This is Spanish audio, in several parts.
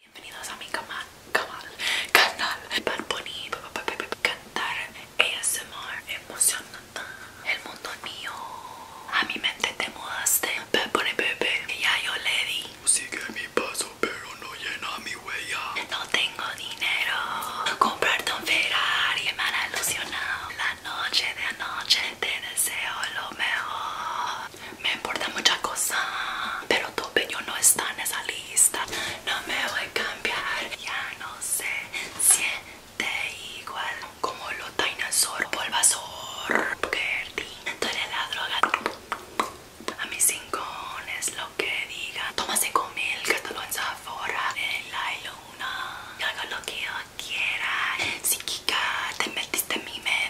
Bienvenidos a mi cama, canal Bad Bunny Cantar ASMR Emocionante El mundo es mío A mi mente te mudaste Bad pepe, ya yo le di Sigue mi paso pero no llena mi huella No tengo dinero Comprar un Ferrari Me han ilusionado La noche de anoche Te deseo lo mejor me importa mucha cosa, pero tu yo no está en esa lista. No me voy a cambiar, ya no sé, siente igual como lo los el polvasor, perdí, tú eres la droga. A mis es lo que diga, toma cinco mil, te en Zafora, en la luna, y haga lo que yo quiera. Psíquica, te metiste en mi mente.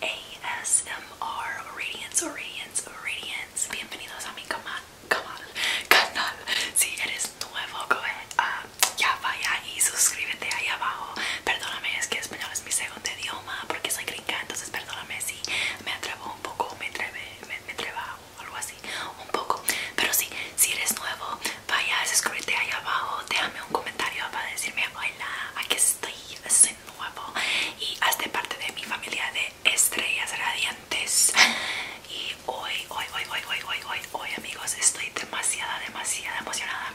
ASMR Radiance, Radiance, Radiance. Bienvenidos a mi canal, canal. Si eres nuevo, ah, ya vaya y suscríbete ahí abajo. Perdóname, es que español es mi segundo idioma porque soy gringa, entonces perdóname si me atrevo un poco, me atreve, me, atrevo, algo así, un poco. Pero sí, si eres nuevo, vaya, suscríbete ahí abajo, déjame un comentario para decirme hola, aquí estoy, nuevo y hace parte de mi familia de estrellas radiantes y hoy, hoy, hoy, hoy, hoy, hoy, hoy, hoy amigos estoy demasiada, demasiada emocionada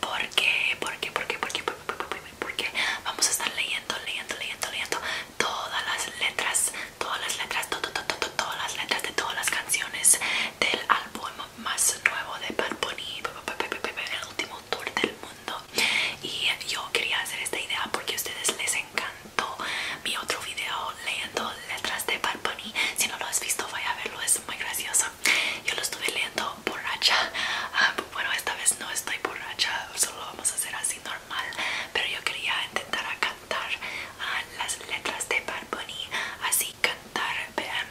porque, porque, porque, porque, porque, porque, vamos a estar leyendo, leyendo, leyendo, leyendo todas las letras, todas las letras, todas las letras de todas las canciones del álbum más nuevo de Bad Bunny, el último tour del mundo y yo quería hacer esta idea porque a ustedes les encantó mi otro video leyendo letras de Bad si no lo has visto vaya a verlo es muy gracioso yo lo estuve leyendo borracha ah, bueno esta vez no estoy borracha solo vamos a hacer así normal pero yo quería intentar cantar a ah, las letras de Bad así cantar ¿vean?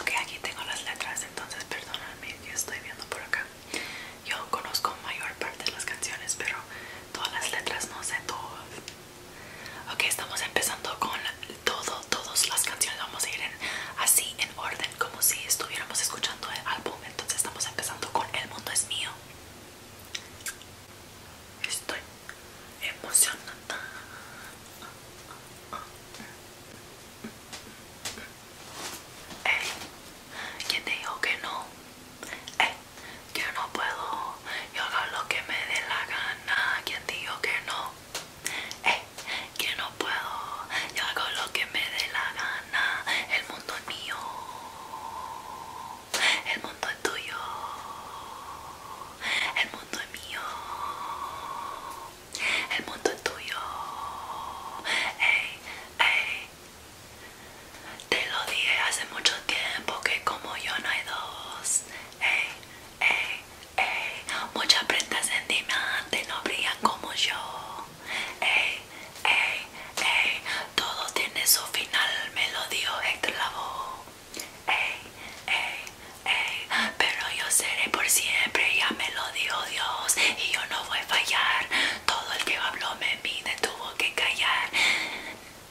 Ok, aquí tengo las letras, entonces perdóname yo estoy viendo por acá. Yo conozco mayor parte de las canciones, pero todas las letras no sé todas. Ok, estamos empezando con todo, todas las canciones. Vamos a ir así en orden, como si estuviéramos escuchando el álbum. Entonces estamos empezando con El Mundo es Mío. Estoy emocionada. Eh, ¿quién te dijo que no? Eh, yo no puedo, yo hago lo que me dé la gana. ¿Quién dijo que no? Eh, que no puedo, yo hago lo que me dé la gana. El mundo es mío, el mundo es tuyo, el mundo es mío. El mundo es tuyo. Ey, ey. Te lo dije hace mucho tiempo que como yo no hay dos. Ey, ey, ey. Muchas prendas en diamante no brillan como yo. Ey, ey, ey. Todo tiene su final, me lo dio el Lavoe. Ey, ey, ey pero yo seré por siempre, ya me lo dijo Dios y yo no voy a fallar. Todo el que habló me mide tuvo que callar.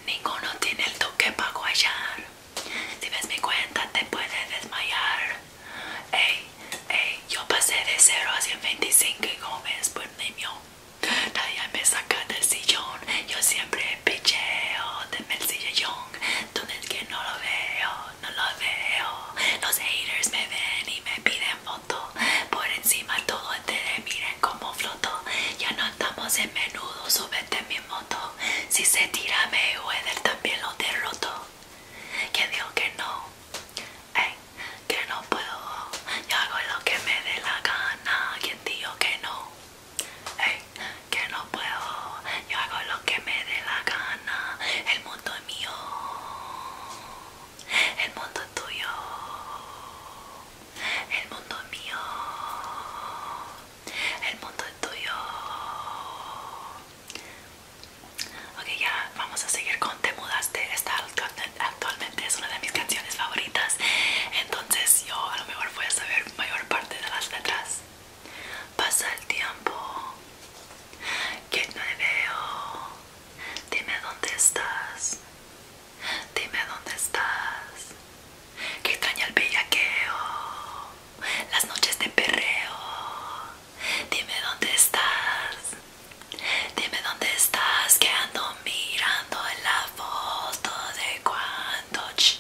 Ninguno tiene el toque para guayar. Si ves mi cuenta te puedes desmayar. Ey, ey, yo pasé de 0 a 125 y Gómez por niño. Nadie me saca del sillón. Yo siempre picheo de el sillón. Donde es que no lo veo no los veo. Los haters me ven y me piden foto. Por encima todo entere, miren cómo floto. Ya no estamos en menudo, súbete mi moto. Si se tira me él también lo derroto. ¿Quién dijo que no? Hey, que no puedo. Yo hago lo que me dé la gana. ¿Quién dijo que no? Hey, que no puedo. Yo hago lo que me dé la gana. El el mundo mío, el mundo tuyo, el mundo mío, el mundo tuyo. Ok, ya vamos a seguir con Te Mudaste. Esta actualmente es una de mis canciones favoritas. Entonces, yo a lo mejor voy a saber mayor parte de las letras. Pasa el tiempo que no me veo. Dime dónde estás. Dime dónde estás. Que extraña el bellaqueo. Las noches de perreo. Dime dónde estás. Dime dónde estás. Que ando mirando en la foto de cuando. Ch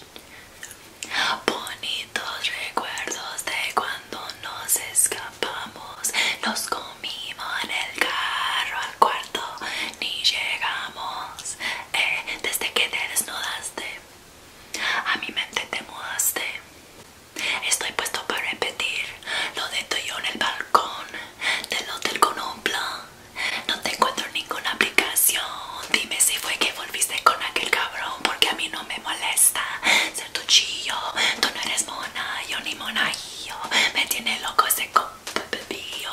recuerdos de cuando nos escapamos. Nos comimos en el carro al cuarto, ni llegamos. Eh, desde que te desnudaste, a mi mente te mudaste. Estoy puesto para repetir lo de tuyo en el balcón del hotel con un plan. No te encuentro ninguna aplicación. Dime si fue que volviste con aquel cabrón porque a mí no me molesta ser tu Tú no eres mona, yo ni yo Me tiene loco ese copillo.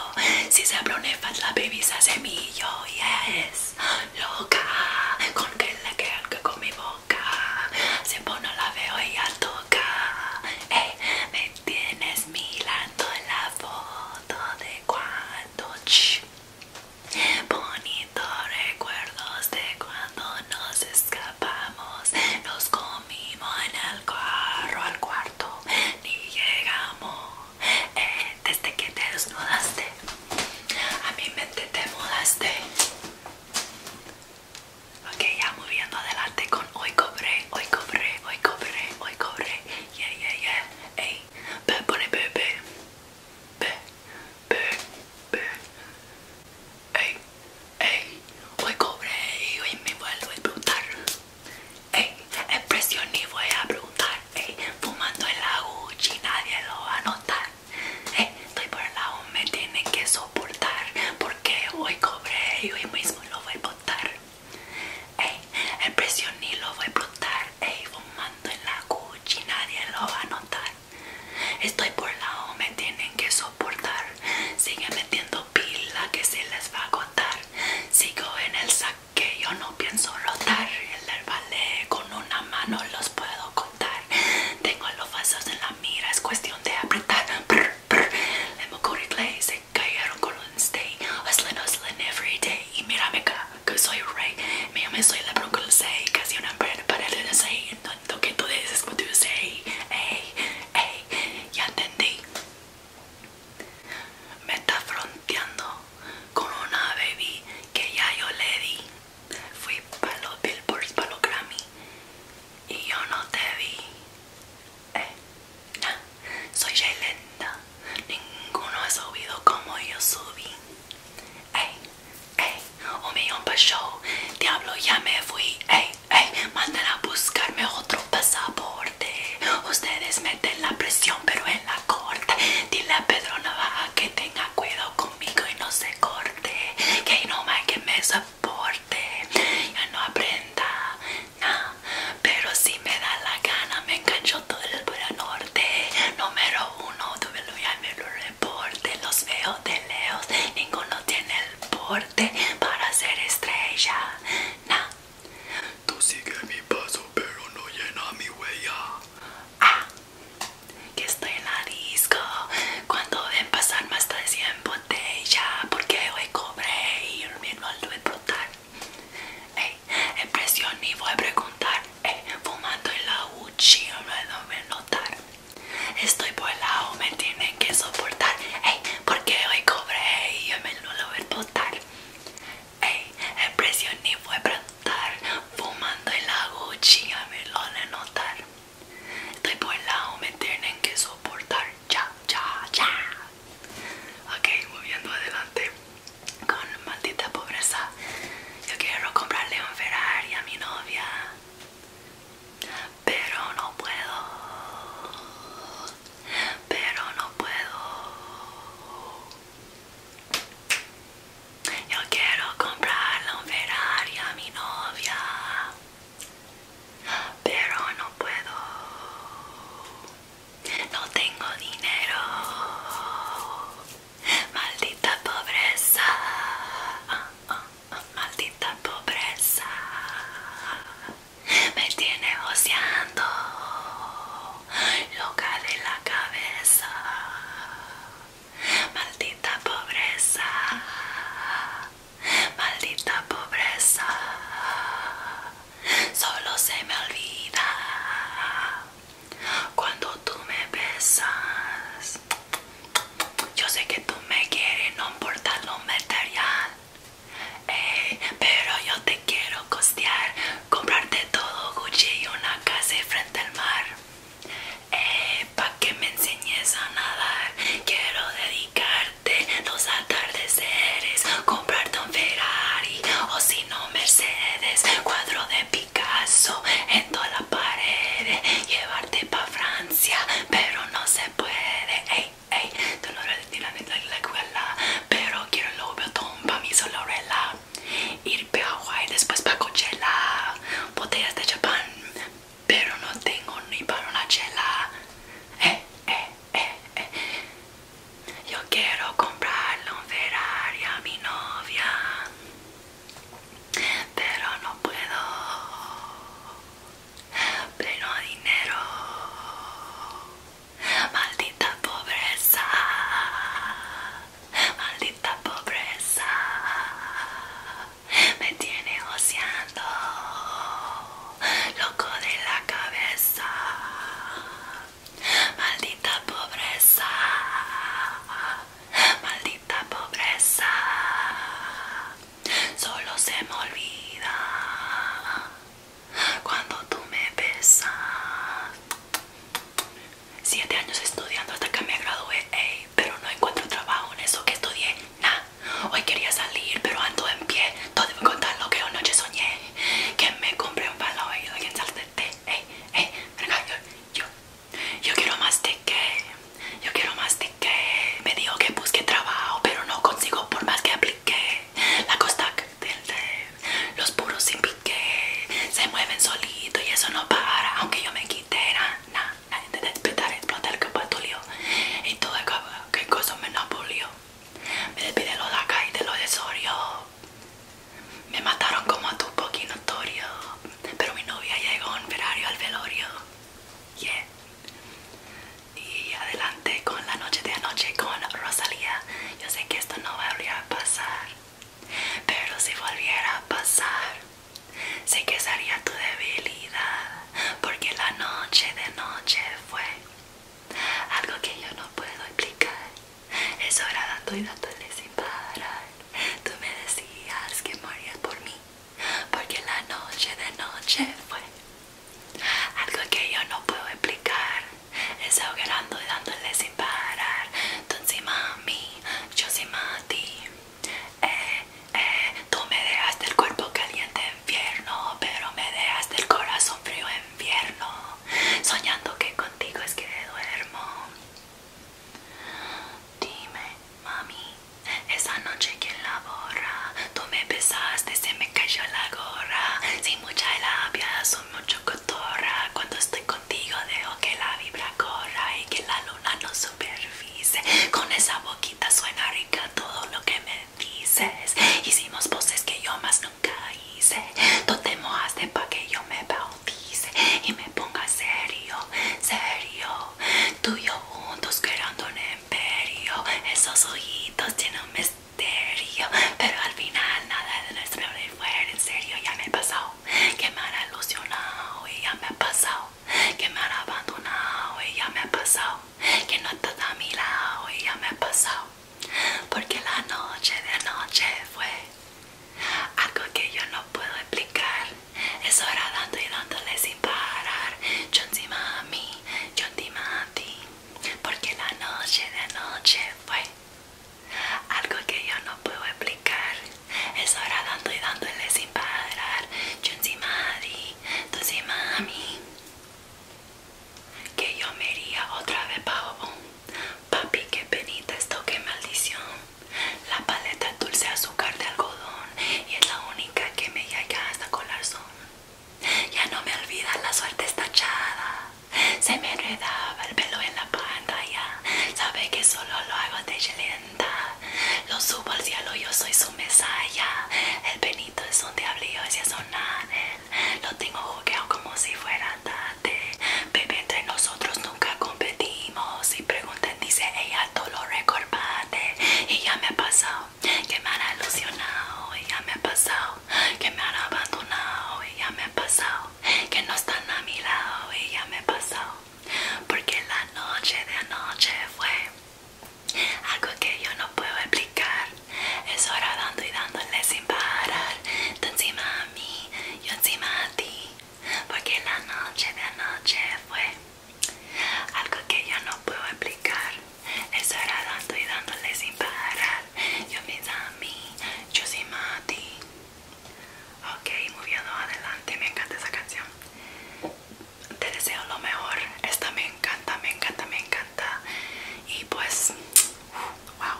Si se abronefas la baby se hace millo. Yes, loca. Con que le que con mi boca. Siempre no la veo y al toca. eh me tienes mirando en la foto de cuando. Ch Bonitos recuerdos de cuando nos escapamos, nos comimos en el carro al cuarto, ni llegamos. Eh, desde que te desnudaste, a mi mente te mudaste. Ok, ya moviendo adelante con hoy cobré, hoy cobré, hoy cobré, hoy cobré. Yeah, yeah, yeah. Ey, bebé, bebé. Be, be, Ey, hoy cobré y hoy me vuelvo a explotar. Ey, expresión y voy a preguntar. Ey, fumando en la Gucci nadie lo va a notar. Ey, estoy por el lado, me tiene que soportar. Porque hoy cobré y hoy mismo lo voy a botar. Ey, expresión y lo voy a explotar. Ey, fumando en la Gucci nadie lo va a notar. Estoy por la O, me tienen que soportar. Sigue metiendo pila que se les va a agotar. Sigo en el saque, yo no pienso rotar. El herbalé con una mano los puedo contar. Tengo los vasos en la mira, es cuestión de apretar. Brr, brr. Le clay, se cayeron con un stay. Hustling, hustling everyday Y mírame acá, que soy rey. Mi nombre soy la broncosei, casi una pared, pared de desayuno todo, don't get to dices, Hey, hey, ya entendí. Me está fronteando con una baby que ya yo le di. Fui para los Billboards, para los Grammy y yo no te vi. Eh, soy soy lenta Ninguno ha subido como yo subí. Hey, ey, un millón para show, diablo ya me fui, ey, ey, manden a buscarme otro pasaporte, ustedes meten la presión pero en la corte, dile a Pedro Navaja que tenga cuidado conmigo y no se corte, que no más que me soporte, ya no aprenda, no pero si me da la gana me engancho todo el norte, número uno, tuve lo ya me lo porte, los veo de lejos, ninguno tiene el porte para ser estrella. Nah. Tú sigues mi paso, pero no llena mi huella. Ah, que estoy en la disco. Cuando ven pasar más de 100 botellas, porque hoy cobré y el mismo al voy a brotar. Hey, impresión y voy a preguntar. Eh, fumando en la lo no a notar. Estoy por lado me tienen que soportar. Ey, porque hoy cobré y yo me lo voy a notar. Ey, el ni fue Fumando en la Gucci, me lo de a notar. Estoy por lado me tienen que soportar. Ya, ya, ya. Ok, moviendo adelante con maldita pobreza yo quiero comprarle un Ferrari a mi novia, pero no puedo, pero no puedo. Yo quiero comprarle un Ferrari a mi novia, pero no puedo. No tengo dinero. Maldita pobreza. maldita pobreza. Me tiene oceando. Loca de la cabeza. Maldita pobreza. Maldita pobreza. Solo se me olvida. Cuando tú me besas, yo sé que tú me quieres, no importa lo material. Eh, pero yo te quiero costear, comprarte todo Gucci y una casa frente al mar. Eh, para que me enseñes a nadar, quiero dedicarte los atardeceres, comprarte un Ferrari o si no Mercedes, cuadro de en toda la pared, llevarte pa' Francia, pero no se puede. Ey, ey, tú la escuela, pero quiero el Louboutin pa' mi solorela. Ir pa' Hawaii, después pa' Coachella, botellas de Japón, pero no tengo ni para una chela. Eh, eh, eh, eh. Yo quiero comprarle un Ferrari a mi novia pero no puedo pero dinero maldita pobreza maldita pobreza me tiene oceando loco de la cabeza maldita pobreza maldita esta pobreza solo se me olvida cuando tú me besas siete años estudiando hasta que me gradué pero no encuentro trabajo en eso que estudié nah hoy quería salir pero ando en pie todo debo contar lo que anoche soñé que me compré un palo y alguien en eh yo, yo yo quiero más de yo quiero más de Me dijo que busque trabajo, pero no consigo por más que aplique, La costa del los puros sin pique se mueven solito y eso no para, aunque yo me quite. Nada, nada, de despetar, explota el capatulio y todo el que cosa me napolio. Me despide lo de y de lo de Sorio. Me mataron como a tu poquito notorio, pero mi novia llegó en verario al velorio. Yeah. Y adelante con la noche de anoche con Rosalía. Yo sé que esto no volverá a pasar, pero si volviera a pasar, sé que sería tu debilidad, porque la noche de noche fue algo que yo no puedo explicar. Eso hora dando y dándole sin parar. Tú me decías que morías por mí, porque la noche de noche fue algo que yo no puedo explicar. Es dando y dándole sin parar. Tú encima a mí, yo encima a ti. Eh, eh, tú me dejaste el cuerpo caliente infierno, pero me dejaste el corazón frío infierno Soñando que contigo es que duermo. Dime, mami, esa noche que labora la borra tú me besaste, se me cayó la gorra. Sin mucha labia, soy mucho cotorra. Cuando estoy contigo, dejo que la vibra corra y que la luna no supervise. Con esa boquita suena rica todo lo que me dices. Hicimos voces que yo más nunca hice. Tú te mojaste pa' que yo me y me ponga serio, serio. Tú y yo juntos creando un imperio. Esos ojitos tienen un misterio, pero al final nada de de fuera en serio. Ya me he pasado, que me han ilusionado y ya me ha pasado, que me han abandonado y ya me ha pasado, que no estás a mi lado y ya me ha pasado. Porque la noche de noche fue algo que yo no puedo explicar. Es hora dando y dándole sin parar. Yo mami, a mí, yo ti. Porque la noche de anoche fue algo que yo no puedo explicar. Es hora dando y dándole sin parar. Yo encima a mami Que yo me iría otra vez bajo Papi, qué penita esto, qué maldición. La paleta es dulce azúcar de algodón y es la única que me llega hasta corazón. Ya no me olvida la suerte estachada. Se me enredaba el pelo en la pantalla. Sabe que solo lo hago de lenta. Lo subo al cielo, yo soy su mesaya. El penito es un diablillo, si es un ángel. Lo tengo jugueado como si fuera tal. Baby, entre nosotros nunca competimos. Y preguntan, dice ella, todo lo recordate. Y ya me ha pasado que me han alusionado Y ya me ha pasado que me han abandonado. Y ya me ha pasado que no están a mi lado. Y ya me ha pasado. Porque la noche de anoche fue algo que yo no puedo explicar. Es hora dando y dándole sin parar. Tú encima a mí, yo encima a ti porque la noche de anoche fue algo que yo no puedo explicar. Eso era dando y dándole sin parar. Yo mis a mí, yo sin Mati. Ok, moviendo adelante, me encanta esa canción. Te deseo lo mejor. Esta me encanta, me encanta, me encanta. Y pues, wow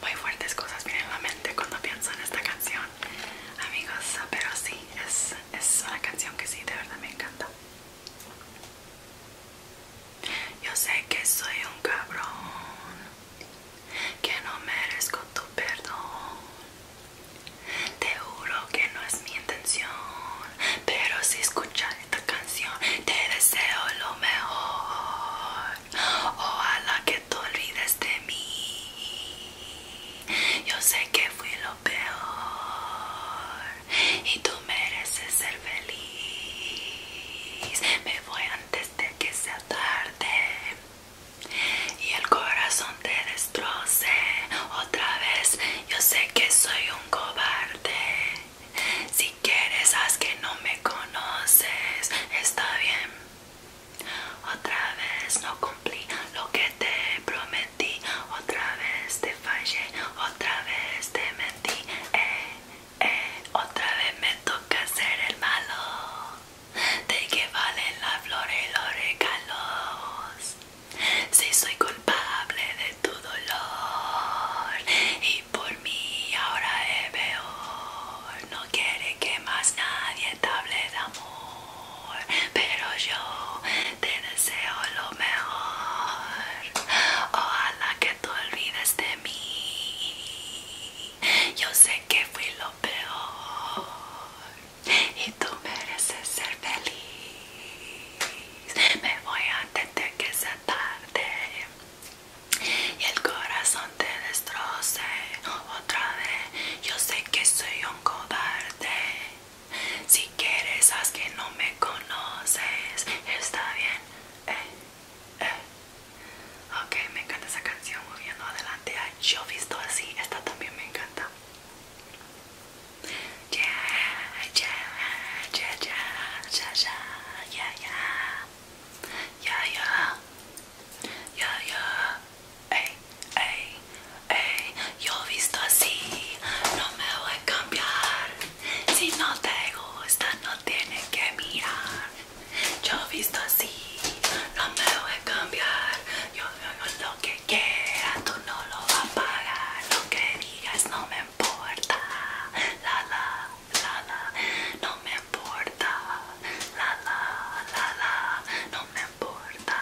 muy fuertes cosas vienen a la mente cuando pienso en esta canción, amigos. Pero sí, es, es una canción que sí, de verdad me encanta. Yo sé que soy un cabrón, que no merezco tu perdón. Te juro que no es mi intención, pero si escuchas esta canción te deseo lo mejor. Ojalá que te olvides de mí. Yo sé que fui lo peor y tú mereces ser feliz. Me voy antes de que sea tarde y el corazón te destroce otra vez. Yo sé que soy un cobarde. Si quieres, haz que no me conoces. Está bien. Otra vez no cumplí lo que te prometí. Otra vez te fallé. Otra vez te mentí. Eh, eh, otra vez me toca ser el malo. ¿De qué valen las flores y los regalos? Si soy culpable de tu dolor y por mí ahora es peor no quiere que más nadie te hable de amor, pero yo te deseo lo mejor. Ojalá que tú olvides de mí. Yo sé que fui lo peor y tú mereces ser feliz. Me voy antes de que se tarde y el corazón te destroce otra vez. Yo sé que soy un cobarde. Si quieres, haz que no me conoces. Está bien. Eh, eh. Ok, me encanta esa canción. Moviendo adelante Yo visto así. Esta también me encanta. Ya, ya Ya, ya Ya, ya Ya, ya ya, ya, ey, ey, ey, yo visto así, no me voy a cambiar. Si no te gusta, no tienes que mirar. Yo visto así, no me voy a cambiar. Yo, veo lo que quiera, tú no lo vas a pagar. Lo que digas no me importa. La, la, la, la, no me importa, la la la la, no me importa,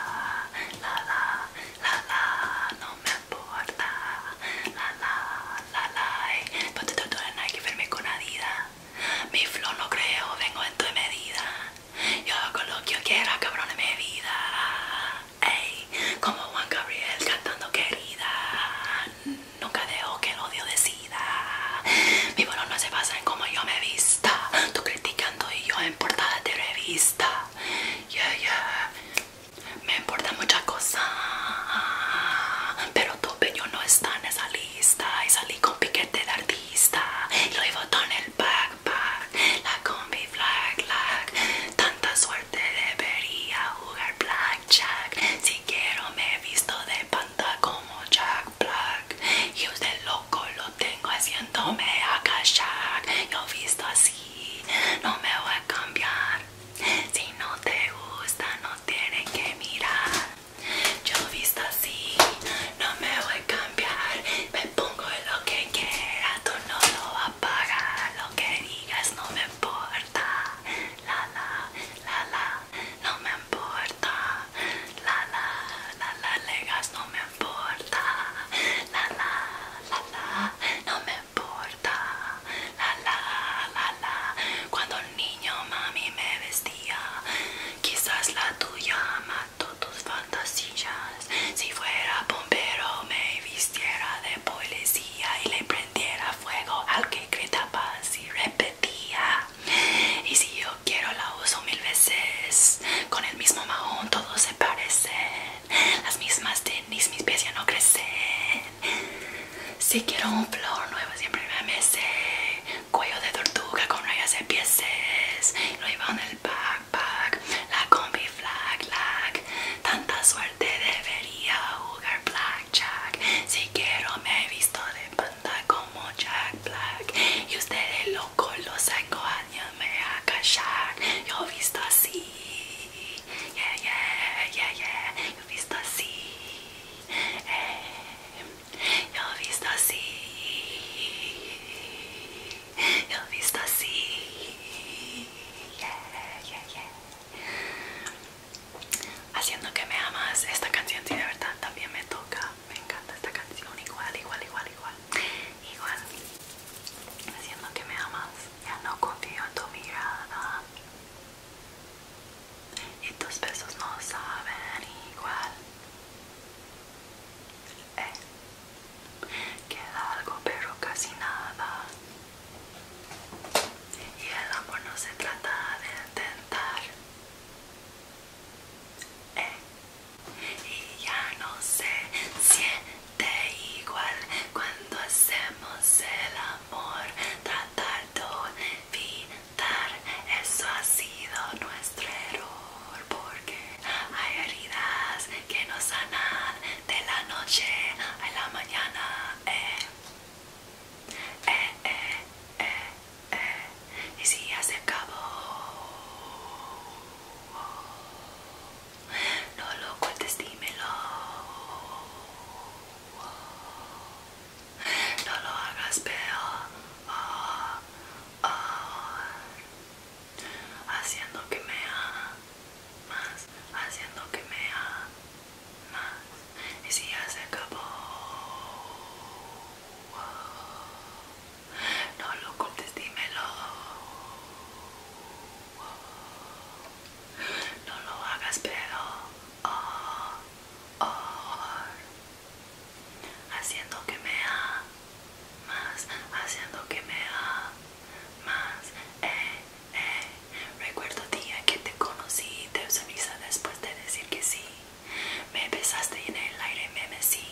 la la la la, no me importa, la la la la. todo te torturan en verme con Adidas. Mi flow no creo, vengo en tu medida. Yo hago lo que yo quiera, cabrón, en mi vida. Ey, como Juan Gabriel cantando querida. Nunca dejo que el odio decida. Mi valor no se basa en cómo yo me vista. Tú criticando y yo en portada de revista. Yeah, yeah. Me importa muchas cosas. Pero tu peño no está en esa lista. Y salí con piquete de artista. Y lo llevo en el backpack. La combi flag, black. Tanta suerte debería jugar blackjack. Si quiero me he visto de panda como Jack y usted loco lo tengo haciéndome agachar yo visto así no me voy a cambiar si no te gusta no tiene que mirar yo visto así no me voy a cambiar me pongo lo que quiera tú no lo vas a pagar lo que digas no me importa la la la la no me importa, la la la la legas, no me importa, la la la la, no me importa, la la la la. Cuando niño mami me vestía, quizás la tuya mató tus fantasías. Si fuera bombero me vistiera de policía y le prendiera fuego al que gritaba y repetía y si yo quiero la uso mil veces con el mismo mahón todos se parecen las mismas tenis mis pies ya no crecen si quiero un flor nuevo siempre me mece cuello de tortuga con rayas de pieces lo iba en el backpack la combi flag lag tanta suerte debería jugar black Jack. Si quiero me he visto de pantalla como Jack Black. Y usted locos loco los años me a Yo he visto así. Yeah, yeah, yeah, yeah. Yo he visto así. Eh, yo he visto así. Yo visto así. Yeah, yeah, yeah haciendo que me amas esta canción sí de verdad también me toca me encanta esta canción igual igual igual igual igual haciendo que me amas ya no confío en tu mirada y tus besos no saben igual eh. queda algo pero casi nada y el amor no se trata de intentar eh, y ya no se siente igual cuando hacemos el amor. Tratar de olvidar eso ha sido nuestro error porque hay heridas que no sanan de la noche a la mañana. Eh. Eh, eh, eh, eh. Y si ya se acabó, no lo cuentes, dímelo. No lo hagas peor, haciendo que me haga más, haciendo que me haga más. Y si ya se acabó, no lo cortes, dímelo. No lo hagas, pero oh, oh. haciendo que me ha más, haciendo que me ha más. Eh, eh, Recuerdo día que te conocí, te después de decir que sí. Me besaste en el aire, me mecí.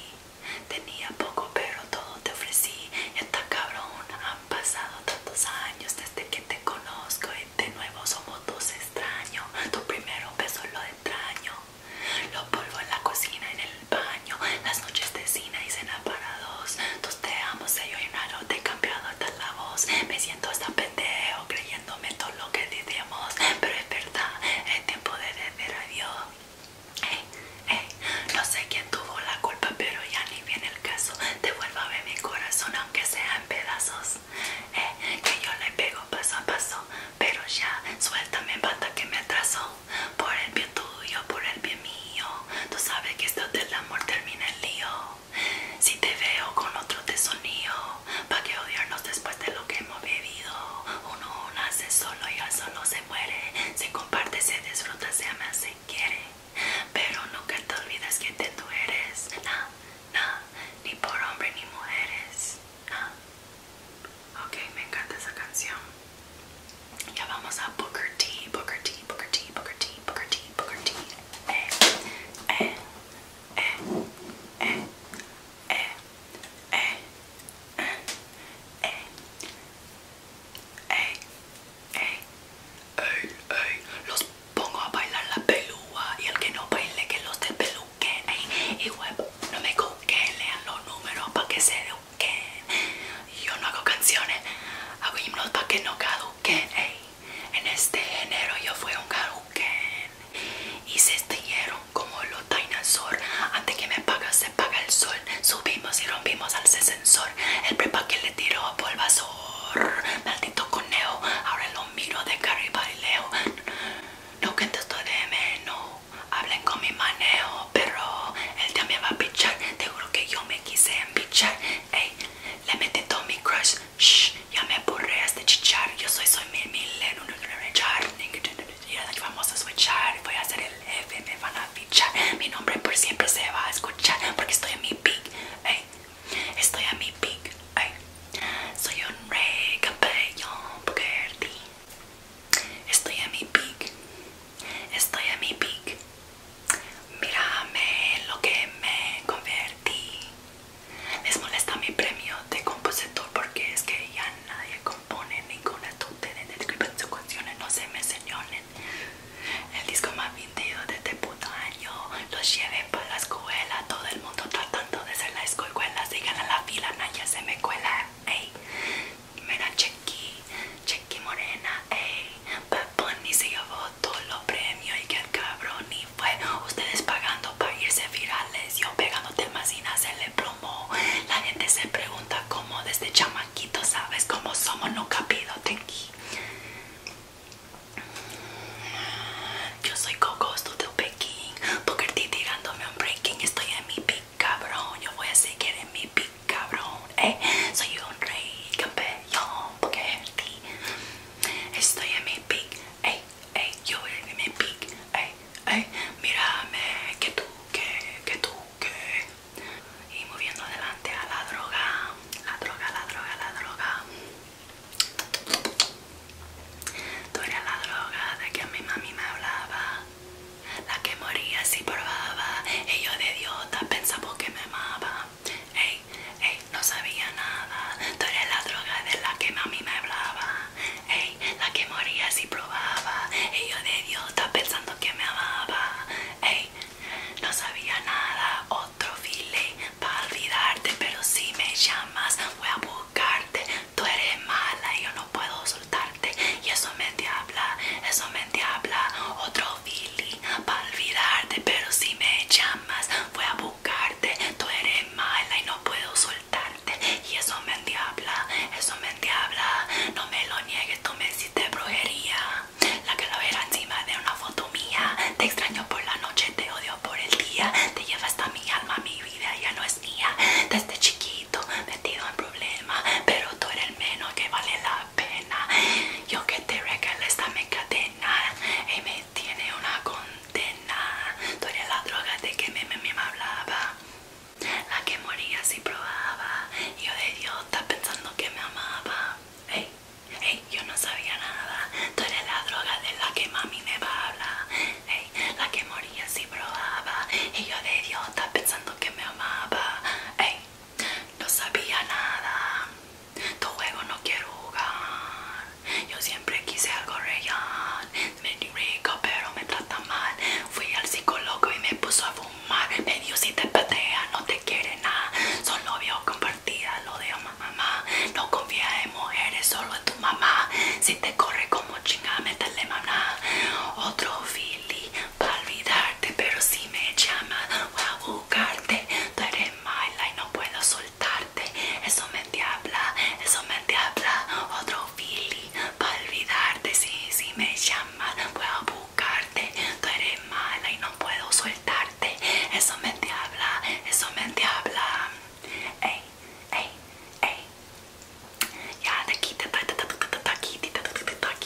Tenía poco, pero todo te ofrecí. Esta cabrón, han pasado tantos años desde que te conozco y de nuevo somos dos extraños. Tu primero beso lo extraño. Lo polvo en la cocina, en el baño, las noches de cena y cena para dos. Tus te amo, se yo y te he cambiado hasta la voz. Me siento hasta pendejo creyéndome todo que decimos, pero es verdad, es tiempo de decir adiós. Eh, eh no sé quién tuvo la culpa, pero ya ni viene el caso. ver mi corazón, aunque sea en pedazos. Eh, que yo le pego paso a paso, pero ya suéltame, bata que me atrasó Por el bien tuyo, por el bien mío. Tú sabes que esto del amor termina el lío. Si te veo con otro sonío pa' que odiarnos después de lo que hemos bebido. Uno nace solo y al solo se muere. Se comparte, se disfruta, se ama, se quiere. Pero nunca te olvides que te tú eres. ni por hombre ni mujeres. Ok, me encanta esa canción. Ya vamos a Booker T, Booker T, Booker T, Booker T, Booker T, Booker T. Eh, eh, los pongo a bailar la pelúa y el que no baile que los ¡Eh! Y web, no me coquen, lean los números para que se eduquen. Yo no hago canciones, hago himnos para que no caduquen en este género yo fui un Hadouken y se estallaron como los dinosaur antes que me paga se paga el sol subimos y rompimos al sensor el prepa que le tiró a polvasor maldito conejo ahora lo miro de cara y leo no estoy de menos hablen con mi manejo pero él día me va a pichar te que yo me quise empichar ey le metí todo mi crush ya me borré este chichar. Yo soy, soy mil, mil, no, Yo soy vamos a Voy a hacer el F me van a fichar. Mi nombre por siempre se va a escuchar porque estoy en mi peak. Estoy a mi peak. Soy un rey, campeón, Estoy a mi peak. Estoy a mi peak. Mírame lo que me convertí. Les molesta mi premio de compositor porque es que ya nadie compone ninguna estudio de escribir sus canciones, no se me señalen. El disco más vendido de este puto año los lleve para la escuela, todo el mundo tratando de ser la escuela, sigan a la fila, nadie se me cuela, ey. Mira, Chequi, Chequi Morena, ey. Bad Bunny se llevó todos los premios y que el cabrón y fue ustedes pagando para irse virales yo pegándote más se le promo la gente se pregunta cómo desde chamaquito sabes cómo somos no capido tenki yo soy Coco te Peking porque T tirándome un breaking estoy en mi pick cabrón yo voy a seguir en mi pick cabrón eh. soy un rey campeón porque T estoy en mi pick Ey, ey, yo voy a mi pique. Ey, ey, mírame, que tú, que, que tú, que. Y moviendo adelante a la droga, la droga, la droga, la droga. Tú era la droga de que a mi mami me hablaba. La que moría si probaba. Y yo de idiota pensaba que me amaba. Ey, no sabía nada. Tú eres la droga de la que mami me hablaba. Ey, la que moría si probaba. Y yo de está pensando que me amaba. Ey, no sabía nada. Otro file para olvidarte. Pero si me llamas, voy a buscarte. Tú eres mala y yo no puedo soltarte. Y eso me diabla, eso me diabla. Otro fili para olvidarte. Pero si me llamas, voy a buscarte tú eres mala y no puedo soltarte y eso me endiabla, eso me endiabla, no me lo niegues, tú me hiciste brujería, la que lo calavera encima de una foto mía, te extraño por la noche, te odio por el día, te lleva hasta mi alma, mi vida ya no es mía, desde chiquito metido en problemas, pero tú eres el menos que vale la pena, yo que te regalé esta me cadena y tiene una condena. Tú eres la droga de que mi mami me hablaba. La que moría si probaba. Yo de idiota pensando que me amaba. Ey, hey, yo no sabía nada. Tú eres la droga de la que mami me habla. Hey, la que moría si probaba. Y yo de idiota pensando que me amaba. Hey, no sabía nada. Tu juego no quiero jugar. Yo siempre quise algo real. Me rico, pero me trata mal. Fui al psicólogo y me puso a fumar. Medio si te patea, no te quiere nada. son vio compartida, lo de mamá. No confía en mujeres, solo en tu mamá. Si te corre como chinga, métale mamá. Otro Philly para olvidarte, pero si me llama, voy a buscarte. Tú eres mala y no puedo soltar eso me diabla, eso me diabla, otro fili para olvidarte, si, si me llamas a buscarte, tú eres mala y no puedo soltarte, eso me diabla, eso me diabla, ey, ey, ey, ya te quita, te, ta, te, ta, te, ta, te, ta, te,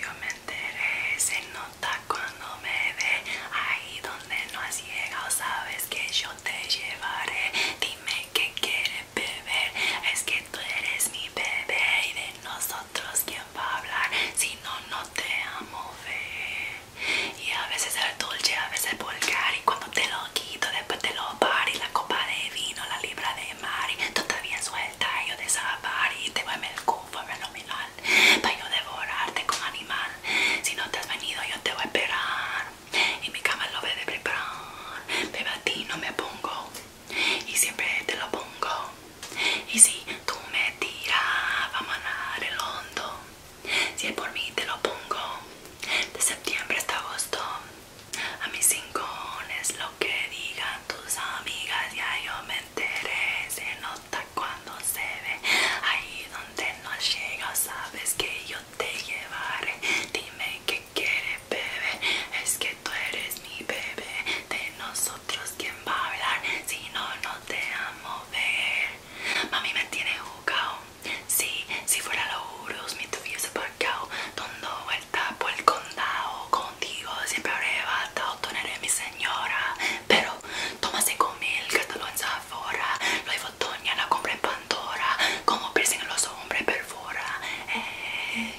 yo me enteré, se nota cuando me ve ahí donde no has llegado, sabes que yo te llevaré. Dime qué quieres beber, es que tú eres mi bebé y de nosotros quién va a hablar si no, no te amo ver y a veces el dulce, a veces el vulgar y cuando te lo quito después te lo pari la copa de vino, la libra de mar todavía tú bien suelta yo desabar y te voy a el mi fenomenal para yo devorarte como animal si no te has venido yo te voy a esperar y mi cama lo ve a preparar Beba, a ti no me pongo y siempre te lo pongo y si tú me tiras vamos a nadar el hondo si es por mí te lo pongo de septiembre hasta agosto. A mis es lo que digan tus amigas, ya yo me enteré. Se nota cuando se ve ahí donde no llega. Sabes que yo te llevaré. Dime qué quieres, bebé. Es que tú eres mi bebé. De nosotros, ¿quién va a hablar? Si no, no te amo ver. Mami me tiene jugado. Sí, si fuera los mi me se parcao Dando vuelta por el condado. Contigo siempre habré batado. Tú mi señora. Pero tómase con mil, gástalo en Zafora. Lo hay botonia, la compra en Pandora. Como piercing los hombres perfora. Eh,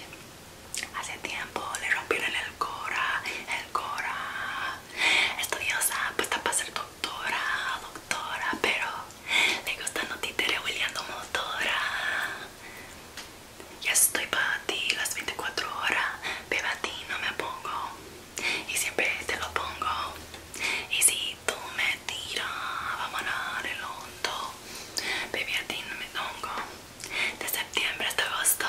hace tiempo le rompieron el cora, el cora. Estudiosa, puesta para ser tu doctora, doctora, pero le gustan los títeres hueleando motora. Ya estoy para ti las 24 horas, bebé a ti no me pongo y siempre te lo pongo. Y si tú me tiras, vamos a dar el hondo, bebé a ti no me pongo. De septiembre hasta agosto.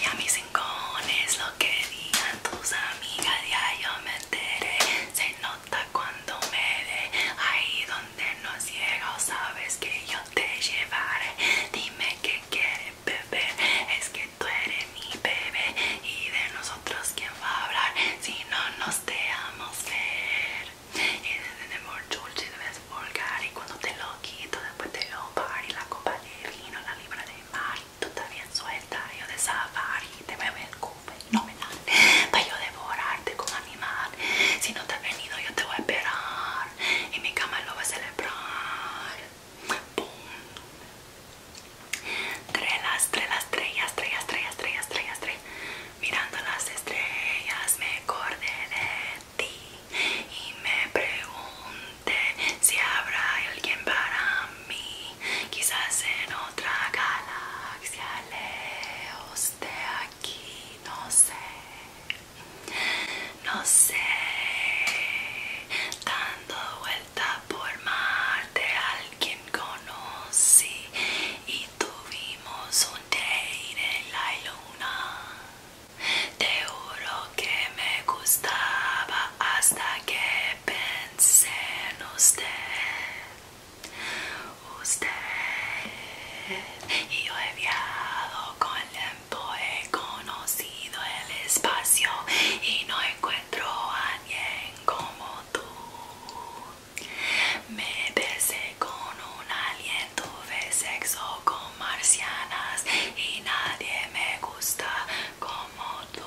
Y a mis rincones lo que digan tus amigas ya yo me enteré Se nota cuando me dé ahí donde no llega o sabes que yo te llevaré Dime que quieres beber, es que tú eres mi bebé Y de nosotros quién va a hablar si no nos dejamos ver Y desde amor dulce debes volgar y cuando te lo quito después te lo Y La copa de vino, la libra de mar tú estás bien suelta, yo de safari, te me ven no me dan, para yo devorarte como animal, si no te has venido yo te voy a esperar, y mi cama lo va a celebrar, ¡Bum! las, tres estrellas, estrellas, estrellas, estrellas, estrellas, estrellas, mirando las estrellas me acordé de ti, y me pregunto, si habrá alguien para mí quizás en otra galaxia lejos de aquí no sé no sé dando vuelta por Marte alguien conocí y tuvimos un date en la luna te oro que me gustaba hasta que pensé en usted. Usted y yo he viajado con el tiempo, he conocido el espacio y no encuentro a alguien como tú. Me besé con un alien, tuve sexo con marcianas y nadie me gusta como tú.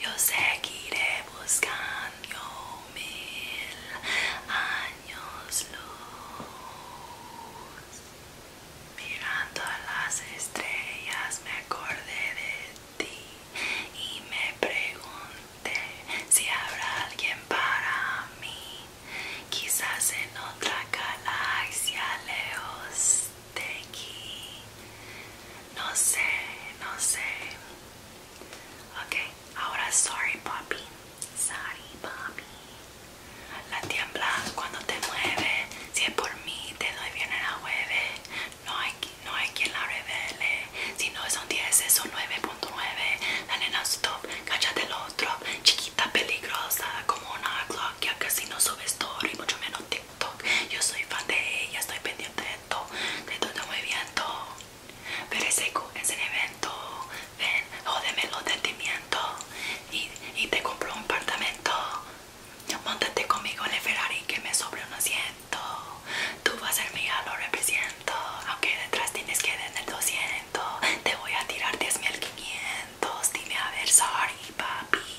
Yo seguiré buscando mil años luz. Mirando a las estrellas me acordé de ti y me pregunté si habrá alguien para mí. Quizás en otra galaxia lejos aquí. No sé, no sé. Ok, ahora sorry papi. Sorry papi. La tiembla cuando te mueve. Si es por mí, te doy bien en la jueves. No hay, no hay quien la revele. Si no son 10, es un 9.9. La nena stop, cállate el otro. Chiquita peligrosa como una ya casi no sube story, mucho menos TikTok. Yo soy fan de ella, estoy pendiente de todo, de todo está muy bien todo. Pero ese evento, ven, jódeme los sentimientos y, y te compro un apartamento. Montate conmigo en el Ferrari que me sobra un asiento. Tú vas a ser mía, lo represento. Aunque detrás tienes que en el 200, te voy a tirar 10.500 dime a ver sorry papi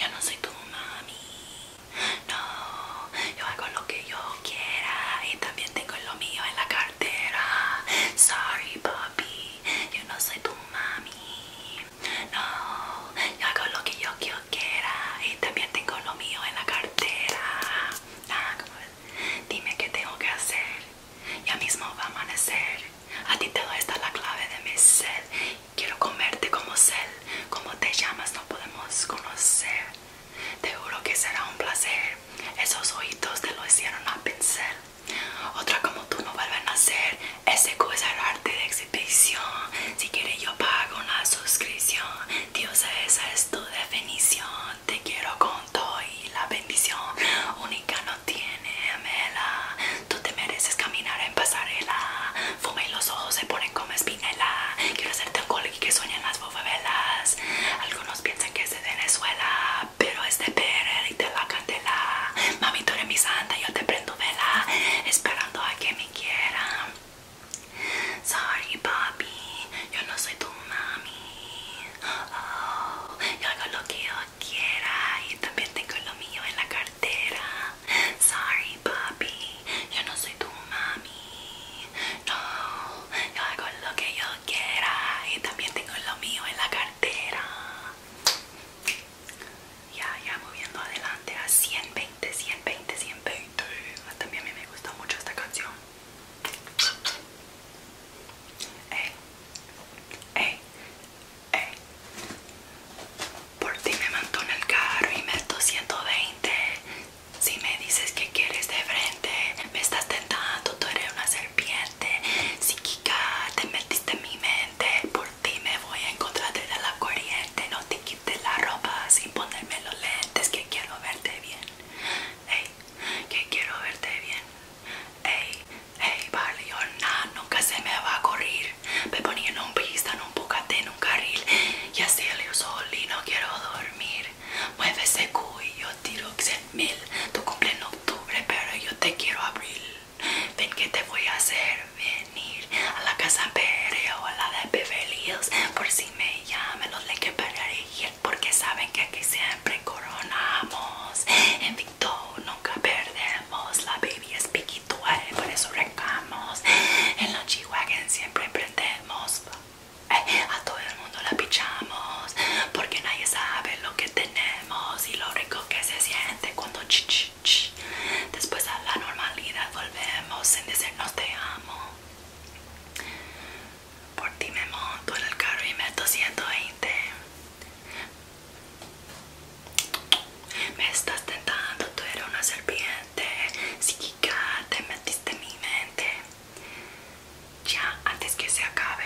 yo no soy tu mami no yo hago lo que yo quiera y también tengo lo mío en la cartera sorry papi yo no soy tu mami no yo hago lo que yo, quiera y también tengo lo mío en la cartera ah, dime qué tengo que hacer ya mismo va a amanecer a ti te doy esta la clave de mi sed. Quiero comerte como sed. Como te llamas no podemos conocer. Te juro que será un placer. Esos ojitos te lo hicieron a pincel. Otra como tú no vuelve a nacer. Ese cosa es arte de exhibición. Si quieres yo pago una suscripción. Dios, esa es tu definición. Te quiero con todo y la bendición. Única no tiene mela. Tú te mereces caminar en pasarela. Fuma y los ojos se ponen como espinela. Quiero hacerte un y que sueñan las velas Algunos piensan que es de Venezuela, pero es de Pérez y de la candela. Mami, tú eres mi santa, yo te prendo vela. Esperando a que me quiera Sorry, papi, yo no soy tu mami. Oh, yo hago lo que quiera y también tengo lo mío en la cartera. Sorry, papi, yo no soy tu mami. No, yo hago lo que yo quiera y también tengo lo mío en la cartera. Ya, ya moviendo adelante a 120, 120, 120. También a mí me gusta mucho esta canción. Ey, ey, por ti me mandó el carro y me meto 120. Si me dices que quieres de frente, me estás tentando, tú eres una serpiente. Psíquica, te metiste en mi mente. Por ti me voy a encontrar de la corriente. No te quites la ropa sin ponerme los lentes. Que quiero verte bien. que quiero verte bien. Hey, hey, barrio, nada, nunca se me va a correr. Me ponía en un pista, en un bocate, en un carril. Y así el sol y no quiero dormir. Mueve ese yo tiro 100 mil. Tu cumple en octubre, pero yo te quiero abril. Ven que te voy a hacer venir a la casa Pere o a la de Beverly Por si me llaman los le que porque saben que aquí siempre coronamos nunca perdemos, la baby es y eh, por eso recamos, en los g siempre emprendemos, eh, a todo el mundo la pichamos, porque nadie sabe lo que tenemos y lo rico que se siente cuando ch, después a la normalidad volvemos sin decirnos te amo. Por ti me monto en el carro y meto 120 me estás tentando, tú eres una serpiente psíquica, te metiste en mi mente. Ya, antes que se acabe.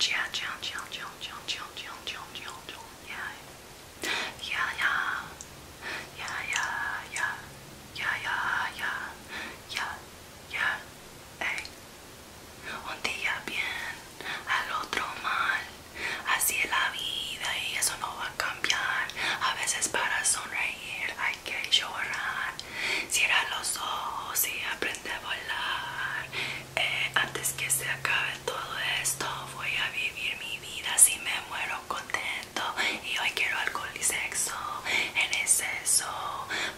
Ya, ya, ya, ya, ya, ya, ya, ya, ya, ya, ya, ya, ya, ya, ya, ya, ya, ya, ya, ya, eh Un día bien, al otro mal, así es la vida y eso no va a cambiar. A veces para sonreír hay que llorar, cierra los ojos y aprende a volar. Eh, antes que se acabe todo esto, voy a vivir mi vida si me muero contenta y hoy quiero alcohol y sexo en exceso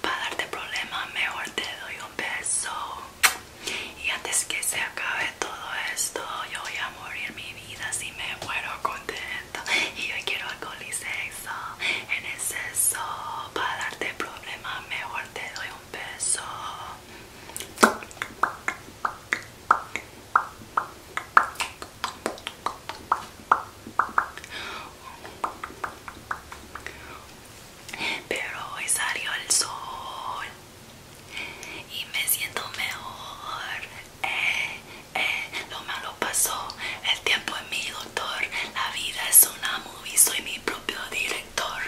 para darte problemas mejor te doy un beso y antes que se acabe todo esto yo voy a morir mi vida si me muero contento y hoy quiero alcohol y sexo en exceso para darte problemas mejor te doy un beso pero hoy salió el sol y me siento mejor. Eh, eh, lo malo pasó. El tiempo es mi doctor. La vida es una movie. Soy mi propio director.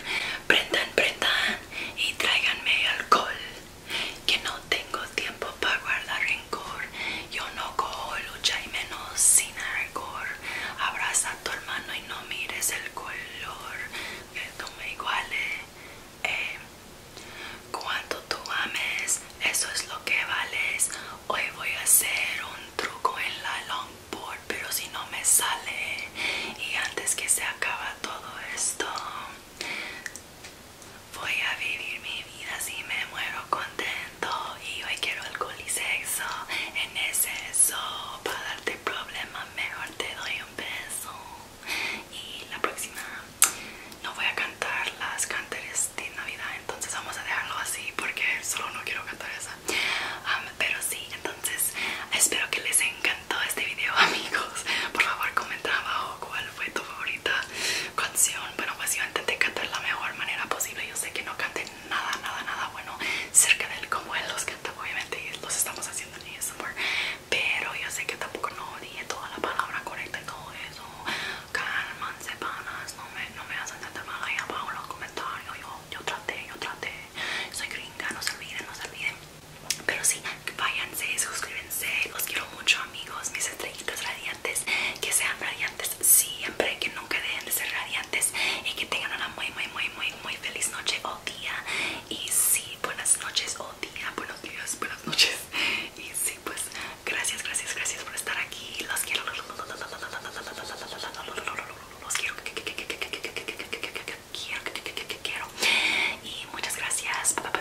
Prendan, prendan y tráiganme alcohol que no tengo tiempo para guardar rencor. Yo no cojo lucha y menos sin argor. Abraza a tu hermano y no mires el color. Que tú me iguales. Eh. Cuando tú ames, eso es lo que vales. Hoy voy a hacer un truco en la longboard, pero si no me sale. Y antes que se acaba todo esto, voy a vivir mi vida si me muero contento y hoy quiero alcohol y sexo en exceso para darte problemas mejor te doy un beso y la próxima no voy a cantar las canteras de navidad entonces vamos a dejarlo así porque solo no quiero cantar esa pero sí entonces espero que les encantó este video amigos por favor comenta abajo cuál fue tu favorita canción. Bueno, pues yo intenté cantar la mejor manera posible. Yo sé que no cante nada, nada, nada bueno cerca de como él los canta, obviamente, y los estamos haciendo en ASMR. Pero yo sé que tampoco no dije toda la palabra correcta y todo eso. Cálmanse, panas, no me, hacen tanta mal ahí abajo en los comentarios. Yo, yo traté, yo traté. Soy gringa, no se olviden, no se olviden. Pero sí, váyanse, suscríbanse, los quiero mucho amigos, mis estrellitas radiantes, que sean radiantes siempre, que nunca dejen de ser radiantes y que tengan una muy, muy, muy, muy, muy feliz noche o día. Y sí, buenas noches o día, buenos días, buenas noches. Y sí, pues gracias, gracias, gracias por estar aquí. Los quiero. Los quiero. Quiero. Y muchas gracias. bye.